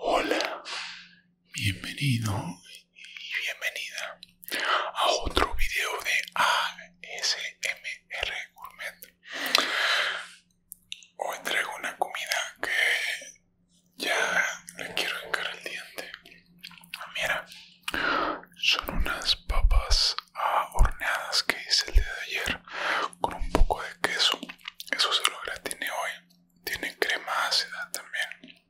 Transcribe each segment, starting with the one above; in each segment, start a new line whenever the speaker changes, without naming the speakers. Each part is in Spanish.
Hola, bienvenido y bienvenida a otro video de ASMR Gourmet. Hoy traigo una comida que ya le quiero encarar el diente. Mira, son unas papas horneadas que hice el día de ayer con un poco de queso. Eso se lo tiene hoy. Tiene crema ácida también.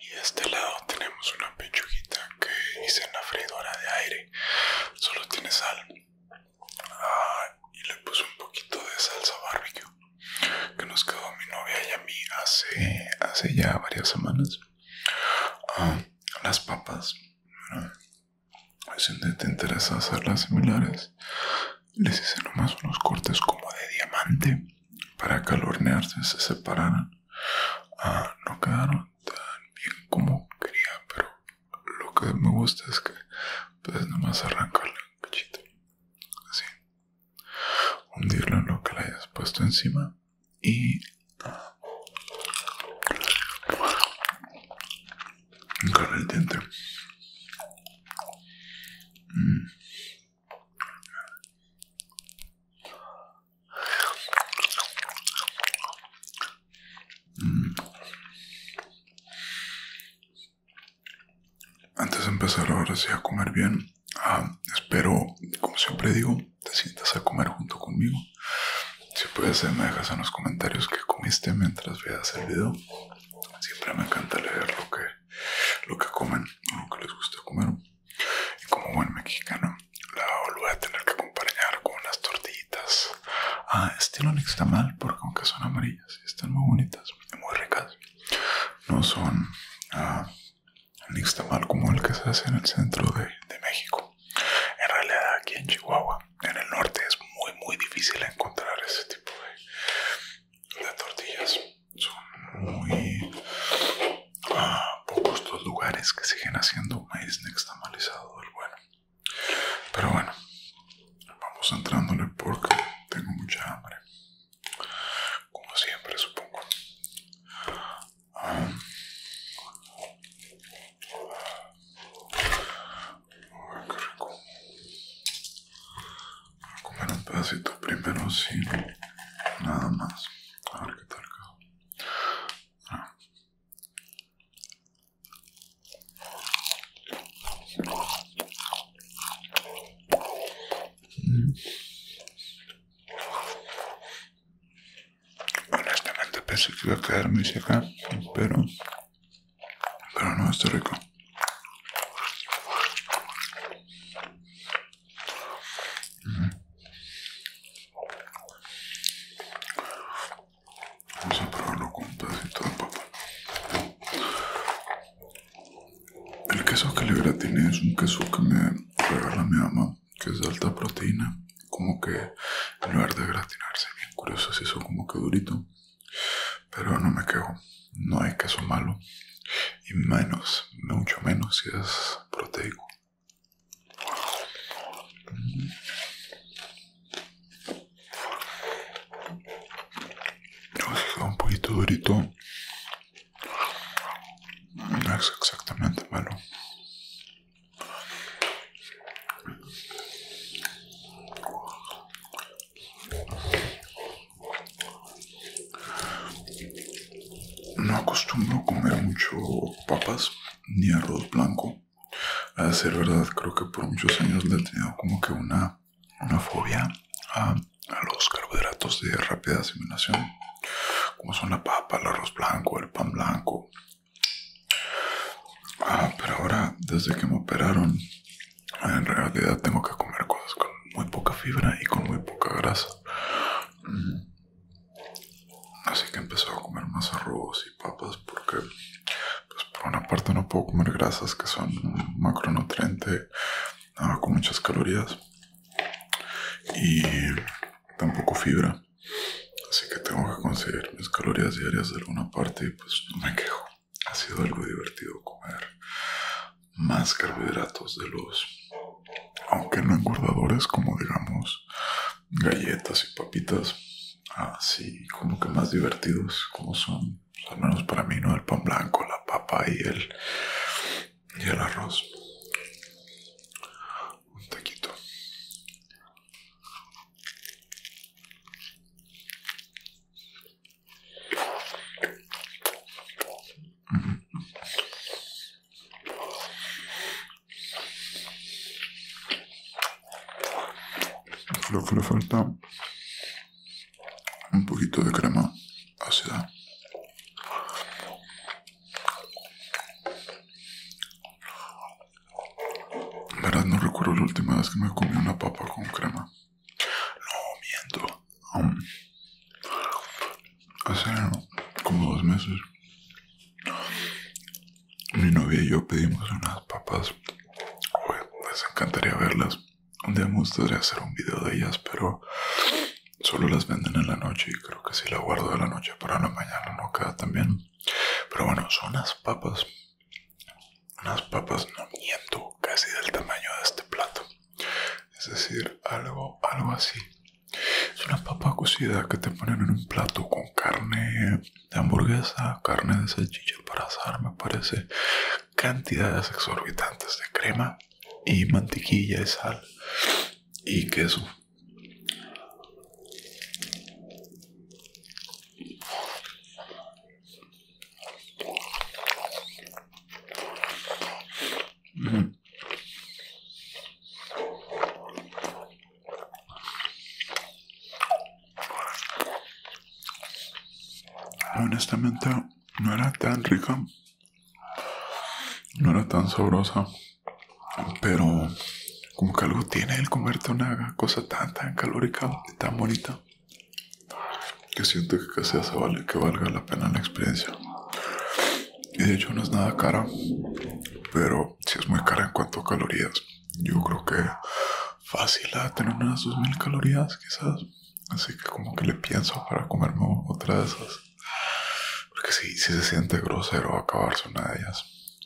Y de este lado tenemos una pechuguita que hice en la freidora de aire. Solo tiene sal. Ah, y le puse un poquito de salsa barbecue que nos quedó mi novia y a mí hace, hace ya varias semanas. Ah, las papas. Ah, pues, si te las similares. Les hice nomás unos cortes como de diamante para calornearse se separaran. Ah, no quedaron tan bien como quería, pero lo que me gusta es que puedes nomás arrancar un cachita Así. Hundirlo en lo que le hayas puesto encima y... Ah, Encarga el diente. Mm. Mm. Antes de empezar ahora sí a comer bien, ah, espero, como siempre digo, te sientas a comer junto conmigo. Si puedes, eh, me dejas en los comentarios qué comiste mientras veas el video. Siempre me encanta leer lo que, lo que comen, lo que les gusta comer. Y como buen mexicano, la voy a tener que acompañar con unas tortillitas. Ah, estilo mal, porque aunque son amarillas y están muy bonitas y muy ricas, no son ah, nixtamal como el que se hace en el centro de México. En realidad aquí en Chihuahua, en el norte, es muy muy difícil encontrar ese tipo de, tortillas. Son muy ah, pocos los lugares que siguen haciendo maíz nixtamalizado del bueno. Pero bueno, vamos entrándole porque tengo mucha hambre. Como siempre, supongo. Ah ver qué rico. Voy a comer un pedacito primero sin nada más. A ver qué tal ah. Honestamente pensé que iba a quedarme seca, pero pero no, está rico. Vamos a probarlo con un pedacito de El queso que le tiene es un queso que me regala mi mamá, que es de alta proteína como que en lugar de gratinarse, bien curioso, si son como que durito. Pero no me quedo no hay queso malo. Y menos, mucho menos si es proteico. un poquito durito. No es exactamente malo. No acostumbro comer mucho papas ni arroz blanco. A decir verdad, creo que por muchos años le he tenido como que una, fobia a los carbohidratos de rápida asimilación, como son la papa, el arroz blanco, el pan blanco, Ah, pero ahora, desde que me operaron, en realidad tengo que comer cosas con muy poca fibra y con muy poca grasa. Mm. Así que empecé a comer más arroz y papas porque, pues, por una parte no puedo comer grasas que son un macronutriente ah, con muchas calorías y tampoco fibra. Así que tengo que conseguir mis calorías diarias de alguna parte y pues no me quejo. Ha sido algo divertido comer más carbohidratos de los, aunque no engordadores como digamos galletas y papitas, así como que más divertidos como son, pues, al menos para mí, ¿no? El pan blanco, la papa y el, y el arroz. Un taquito lo que le falta un poquito de crema ácida. Verás, no recuerdo la última vez que me comí una papa con crema. No, miento. Um, hace como dos meses. Mi novia y yo pedimos unas papas. les encantaría verlas. Un día me gustaría hacer un video de ellas, pero solo las venden en la noche y creo que si la guardo de la noche para la mañana no queda tan bien. Pero bueno, son las papas unas papas, no miento, casi del tamaño de este plato. Es decir, algo, algo así. Es una papa cocida que te ponen en un plato con carne de hamburguesa, carne de salchicha para asar, me parece. Cantidades exorbitantes de crema y mantequilla y sal y queso. Honestamente, no era tan rica, no era tan sabrosa, pero como que algo tiene el comerte una cosa tan, tan calórica y tan bonita que siento que casi hace vale, que valga la pena la experiencia. Y de hecho no es nada cara, pero si es muy cara en cuanto a calorías. Yo creo que fácil a tener unas 2000 calorías quizás. Así que como que le pienso para comerme otra de esas. Porque si se siente grosero acabarse una de ellas.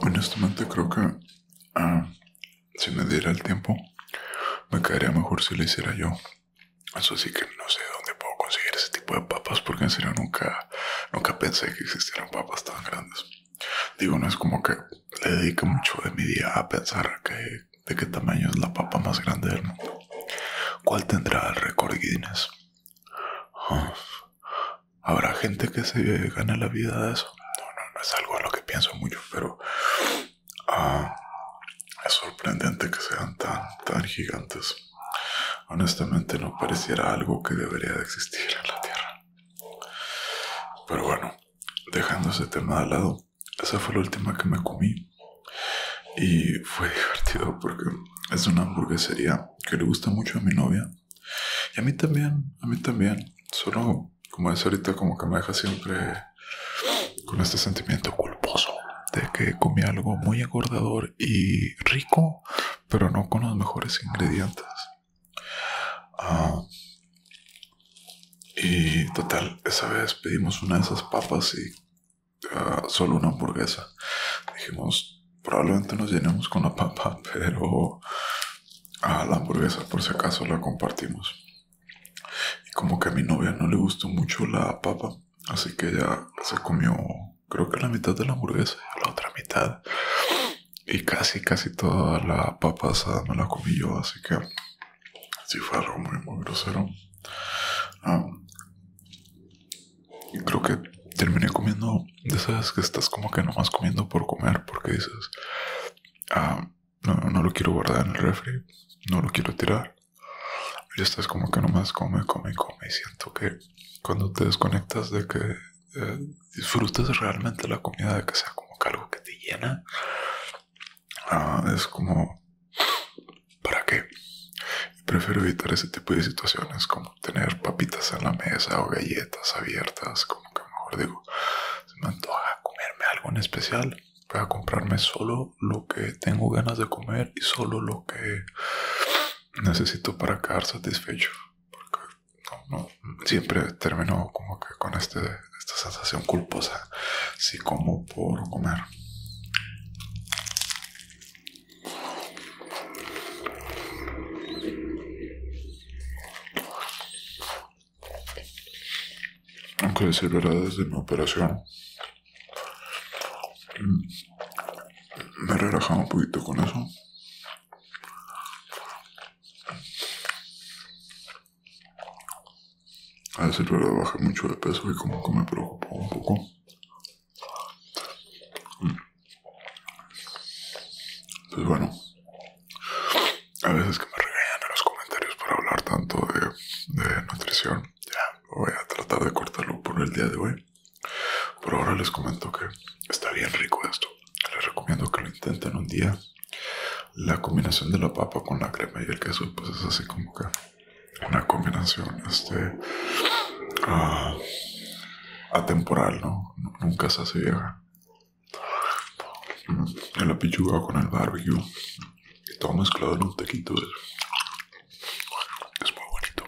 Honestamente creo que ah, si me diera el tiempo, me quedaría mejor si lo hiciera yo. Eso sí que no sé dónde puedo conseguir ese tipo de papas porque en serio nunca, nunca pensé que existieran papas tan grandes. Digo, no es como que le dedique mucho de mi día a pensar que, de qué tamaño es la papa más grande del mundo. ¿Cuál tendrá el récord Guinness? Habrá gente que se gana la vida de eso. No, no, no es algo a lo que pienso mucho, pero ah, es sorprendente que sean tan, tan gigantes. Honestamente no pareciera algo que debería de existir en la Tierra. Pero bueno, dejando ese tema de lado, esa fue la última que me comí. Y fue divertido porque es una hamburguesería que le gusta mucho a mi novia. Y a mí también, a mí también. Solo, como es ahorita, como que me deja siempre con este sentimiento culposo de que comí algo muy agordador y rico, pero no con los mejores ingredientes. Ah, y total, esa vez pedimos una de esas papas y ah, solo una hamburguesa. Dijimos, Probablemente nos llenemos con la papa, pero la hamburguesa por si acaso la compartimos. Y como que a mi novia no le gustó mucho la papa, así que ella se comió creo que la mitad de la hamburguesa la otra mitad. Y casi, casi toda la papa asada me la comí yo, así que sí fue algo muy, muy grosero. Ah, creo que terminé comiendo sabes que estás como que nomás comiendo por comer porque dices, ah, no, lo quiero guardar en el refri, no lo quiero tirar. Y estás como que nomás come, come, come. Y siento que cuando te desconectas de que eh, disfrutes realmente la comida, de que sea como que algo que te llena, ah, es como, ¿para qué? prefiero evitar ese tipo de situaciones como tener papitas en la mesa o galletas abiertas, como que mejor digo, se me antoja comerme algo en especial. Voy a comprarme solo lo que tengo ganas de comer y solo lo que necesito para quedar satisfecho. Porque no, no, siempre termino como que con este, esta sensación culposa. Si como por comer aunque decir verdad desde mi operación mm, me relajaba un poquito con eso a decir verdad bajé mucho de peso y como que me preocupó un poco mm. Pues bueno, a veces que me regañan en los comentarios por hablar tanto de, nutrición, ya voy a tratar de cortarlo por el día de hoy. Por ahora les comento que está bien rico esto. Les recomiendo que lo intenten un día. La combinación de la papa con la crema y el queso, pues es así como que una combinación este, ah, atemporal, ¿no? Nunca se hace vieja en la pichuga con el barbecue todo mezclado en un tequito. Es muy bonito.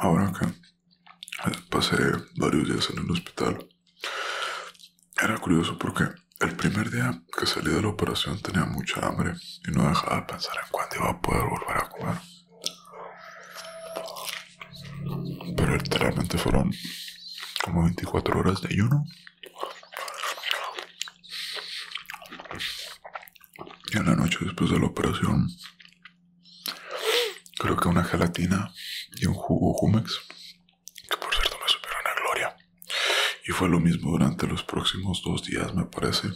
Ahora que eh, pasé varios días en el hospital, era curioso porque el primer día que salí de la operación tenía mucha hambre y no dejaba de pensar en cuándo iba a poder volver a comer. Pero literalmente fueron como 24 horas de ayuno. Y en la noche después de la operación, creo que una gelatina y un jugo Jumex, que por cierto me supieron a gloria. Y fue lo mismo durante los próximos dos días, me parece.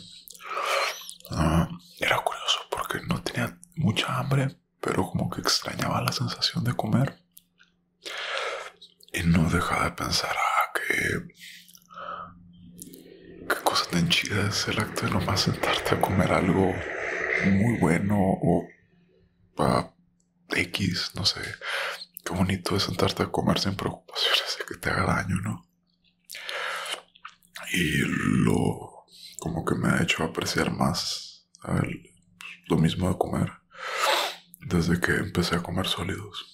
Ah, era curioso porque no tenía mucha hambre, pero como que extrañaba la sensación de comer. Y no dejaba de pensar, ah, que... Qué cosa tan chida es el acto de nomás sentarte a comer algo muy bueno o... X, no sé. Qué bonito es sentarte a comer sin preocupaciones de que te haga daño, ¿no? Y lo... como que me ha hecho apreciar más lo mismo de comer desde que empecé a comer sólidos.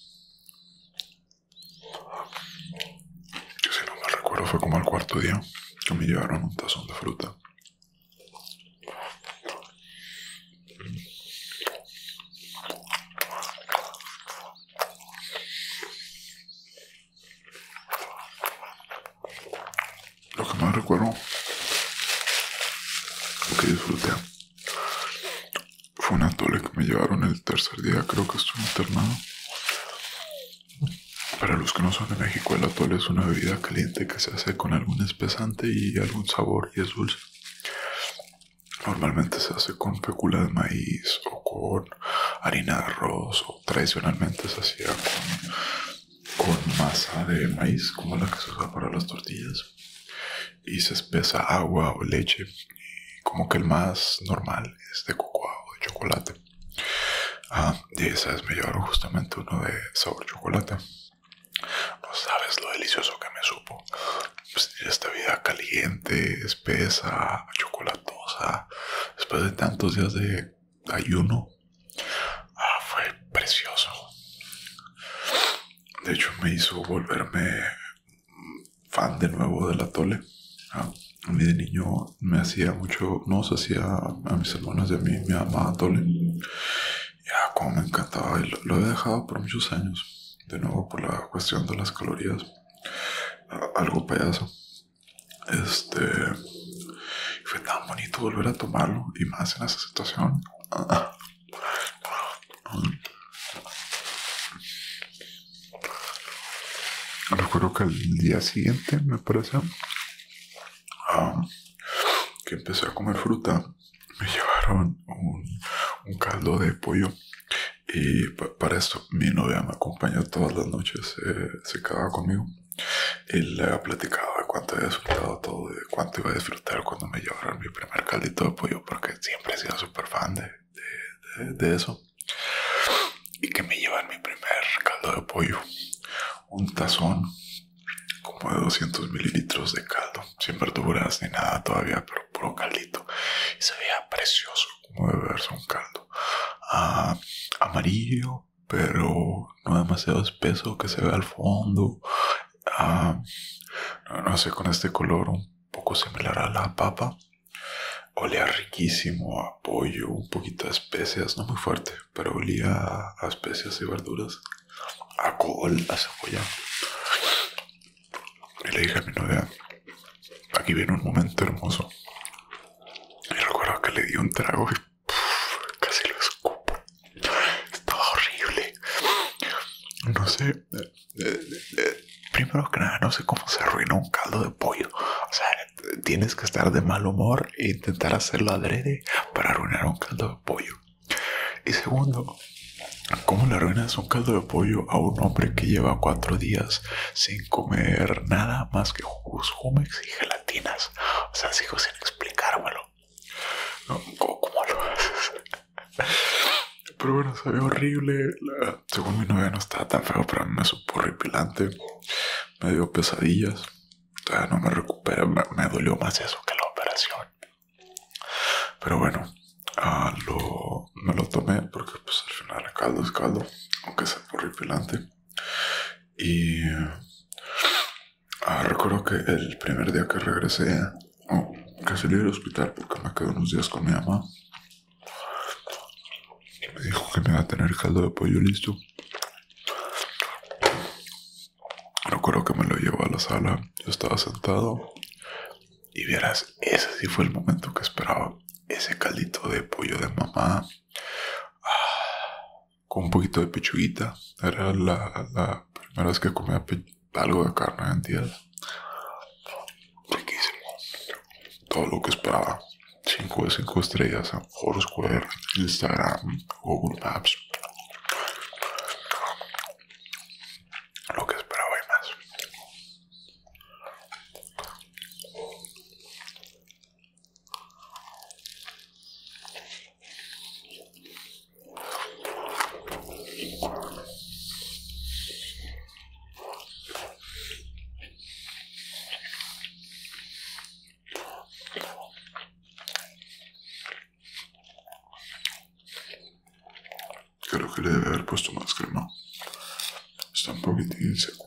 Que si no me recuerdo fue como al cuarto día que me llevaron un tazón de fruta. Lo que más recuerdo, lo que disfruté, fue una tole que me llevaron el tercer día, creo que estuve internado. Para los que no son de México, el atole es una bebida caliente que se hace con algún espesante y algún sabor y es dulce. Normalmente se hace con pecula de maíz o con harina de arroz o tradicionalmente se hacía con con masa de maíz como la que se usa para las tortillas y se espesa agua o leche como que el más normal es de cocoa o de chocolate ah, y esa vez me llevaron justamente uno de sabor chocolate no sabes lo delicioso que me supo pues esta vida caliente espesa chocolatosa después de tantos días de ayuno Ah, fue precioso. De hecho, me hizo volverme fan de nuevo de la Tole. Ah, a mí de niño me hacía mucho, no se hacía a mis hermanos y a mí, me amada Tole. Ya, como me encantaba, lo, he dejado por muchos años. De nuevo, por la cuestión de las calorías. Ah, algo payaso. Este. Fue tan bonito volver a tomarlo y más en esa situación. Recuerdo que el día siguiente, me parece, ah, que empecé a comer fruta, me llevaron un, caldo de pollo. Y para esto, mi novia me acompañó todas las noches, secaba eh, se quedaba conmigo y le había platicado de cuánto he disfrutado todo, de cuánto iba a disfrutar cuando me llevaron mi primer caldito de pollo, porque siempre he sido súper fan de, eso. Y que me llevan mi primer caldo de pollo, un tazón como de 200 mililitros de caldo, sin verduras ni nada todavía, pero puro caldito. Y se veía precioso como verse un caldo ah, amarillo, pero no demasiado espeso que se vea al fondo. Ah, no, sé, con este color un poco similar a la papa. Olía riquísimo a pollo, un poquito de especias, no muy fuerte, pero olía a, especias y verduras, a col, a cebolla. Y le dije a mi novia, aquí viene un momento hermoso. Y recuerdo que le di un trago casi lo escupo. Estaba horrible. No sé. Eh, eh, eh, primero que nada, no sé cómo se arruina un caldo de pollo. O sea, tienes que estar de mal humor e intentar hacerlo adrede para arruinar un caldo de pollo. Y segundo, ¿Cómo le arruinas un caldo de pollo a un hombre que lleva cuatro días sin comer nada más que jugos y gelatinas? O sea, sigo sin explicármelo. No, ¿Cómo lo haces? Pero bueno, se horrible. según mi novia no estaba tan feo, pero a mí me supo horripilante. Me dio pesadillas. no me recuperé Me, dolió más eso que la operación. Pero bueno, ah, me lo tomé porque pues al final el caldo es caldo. Aunque sea horripilante. Y Ah, recuerdo que el primer día que regresé, oh, que salí del hospital porque me quedé unos días con mi mamá, me dijo que me iba a tener caldo de pollo listo. Recuerdo que me lo llevó a la sala, yo estaba sentado y vieras, ese sí fue el momento que esperaba. Ese caldito de pollo de mamá. Ah, con un poquito de pechuguita. Era la, la primera vez que comía algo de carne en día. Riquísimo. Todo lo que esperaba. 5 de 5 estrellas en Foursquare, Instagram, Google Maps. Lo que esperaba y más. Creo que le debe haber puesto más crema. Está un poquitín seco.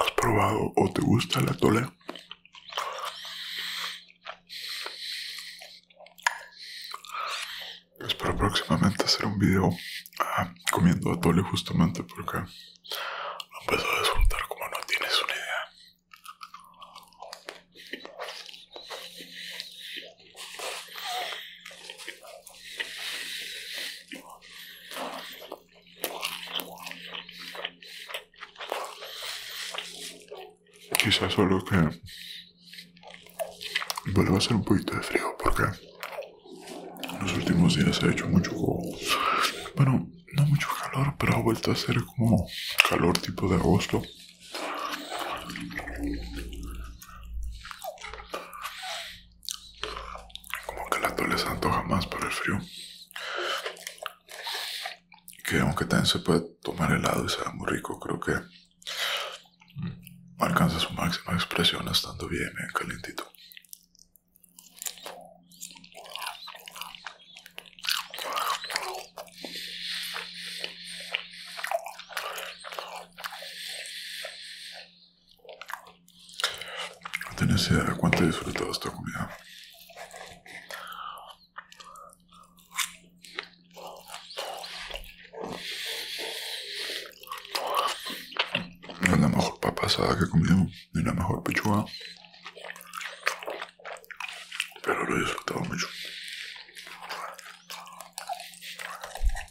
¿Has probado o te gusta el atole? Espero pues próximamente hacer un video ah, comiendo atole justamente porque empezó a desfrutar como no tienes una idea. Quizás solo que vuelva a ser un poquito de frío porque en los últimos días ha hecho mucho, bueno, no mucho calor, pero ha vuelto a ser como calor tipo de agosto. Como que el atole se antoja más para el frío. Que aunque también se puede tomar helado y sea muy rico, creo que mm, alcanza su máxima expresión estando bien, bien eh, calentito. No tenés idea de cuánto he disfrutado esta comida. Es la mejor papa asada que he comido, ni la mejor pechuga. Pero lo he disfrutado mucho.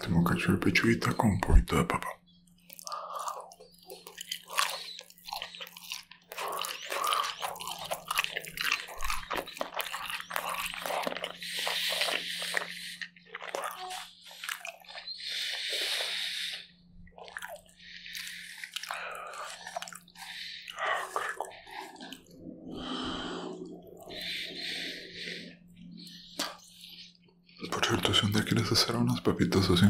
Tengo que hacer con poquito de papa. Por cierto, si un día quieres hacer unas papitas así,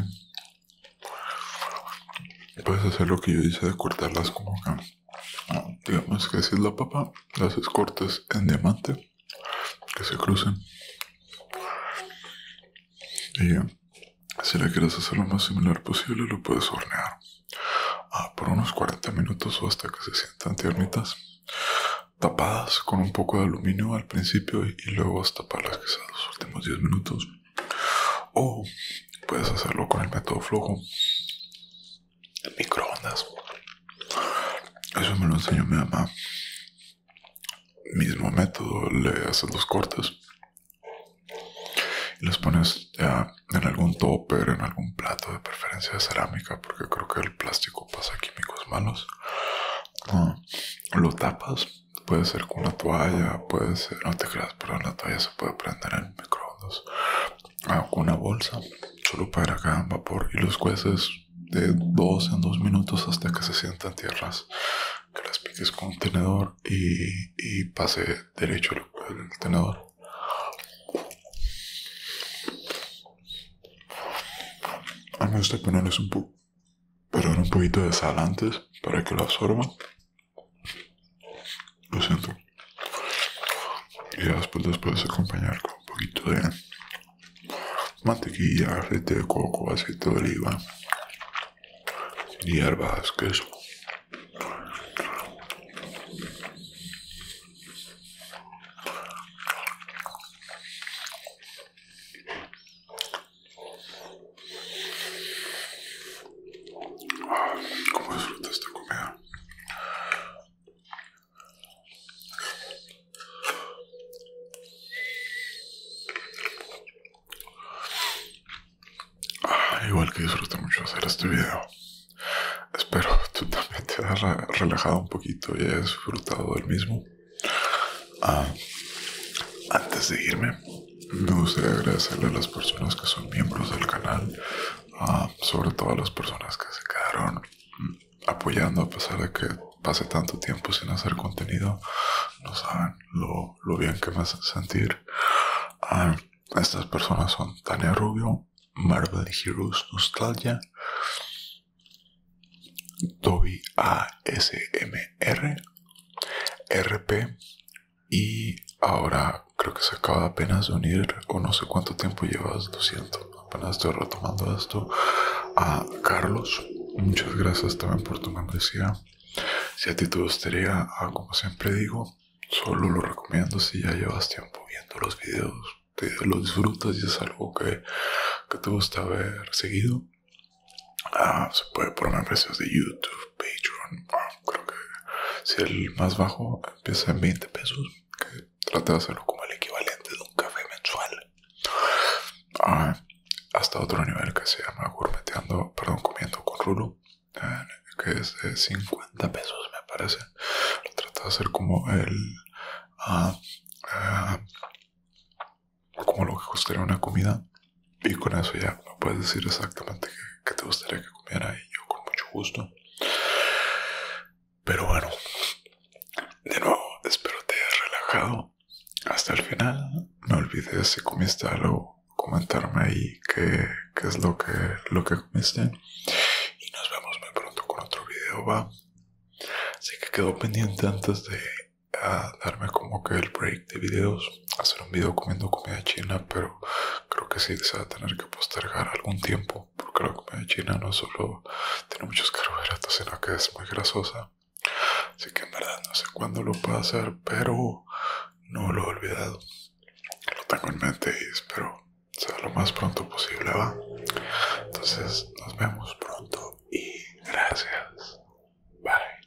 puedes hacer lo que yo hice de cortarlas como acá. Digamos que si es la papa, las cortas en diamante, que se crucen. Y si le quieres hacer lo más similar posible, lo puedes hornear ah, por unos 40 minutos o hasta que se sientan tiernitas, tapadas con un poco de aluminio al principio y, luego hasta para las quizás los últimos 10 minutos. O puedes hacerlo con el método flojo, microondas. Eso me lo enseñó mi mamá. Mismo método, le haces los cortes y los pones ya eh, en algún topper, en algún plato de preferencia de cerámica, porque creo que el plástico pasa químicos malos. Ah, lo tapas, puede ser con una toalla, puede ser, no te creas, pero la toalla se puede prender en microondas, ah, con una bolsa, solo para hagan vapor y los cueces de dos en dos minutos hasta que se sientan tierras que las piques con un tenedor y, pase derecho el, tenedor. A mí me este gusta ponerles un poco, pero un poquito de sal antes para que lo absorba Lo siento. Y después, puedes acompañar con un poquito de mantequilla, aceite de coco, aceite de oliva hierbas Vázquez. queso. ¿Cómo disfruta esta comida? Ah, igual que disfruté mucho hacer este video. Espero tú también te has relajado un poquito y hayas disfrutado del mismo. Ah, antes de irme, me gustaría agradecerle a las personas que son miembros del canal, ah, sobre todo a las personas que se quedaron mm, apoyando a pesar de que pasé tanto tiempo sin hacer contenido. No saben lo, bien que más sentir. estas personas son Tania Rubio, Marvel Heroes Nostalgia, Toby ASMR, RP y ahora creo que se acaba apenas de unir o no sé cuánto tiempo llevas, lo siento, apenas estoy retomando esto a Carlos. Muchas gracias también por tu membresía. Si a ti te gustaría, ah, como siempre digo, solo lo recomiendo si ya llevas tiempo viendo los videos, te los disfrutas y es algo que, te gusta ver seguido. Ah, se puede poner precios de YouTube, Patreon, ah, creo que si el más bajo empieza en 20 pesos, que trata de hacerlo como el equivalente de un café mensual hasta otro nivel que se llama gourmeteando, perdón, comiendo con rulo, que es de 50 pesos me parece. Lo trata de hacer como el... Ah, ah, como lo que costaría una comida. Y con eso ya me puedes decir exactamente qué, te gustaría que comiera y yo con mucho gusto. Pero bueno, de nuevo, espero te hayas relajado hasta el final. No olvides si comiste algo, comentarme ahí qué, es lo que, lo que comiste. Y nos vemos muy pronto con otro video, va. Así que quedó pendiente antes de darme como que el break de videos, hacer un video comiendo comida china, pero creo que sí se va a tener que postergar algún tiempo, porque la comida china no solo tiene muchos carbohidratos, sino que es muy grasosa. Así que en verdad no sé cuándo lo puedo hacer, pero no lo he olvidado. Lo tengo en mente y espero ser lo más pronto posible, ¿va? Entonces nos vemos pronto y gracias. Bye.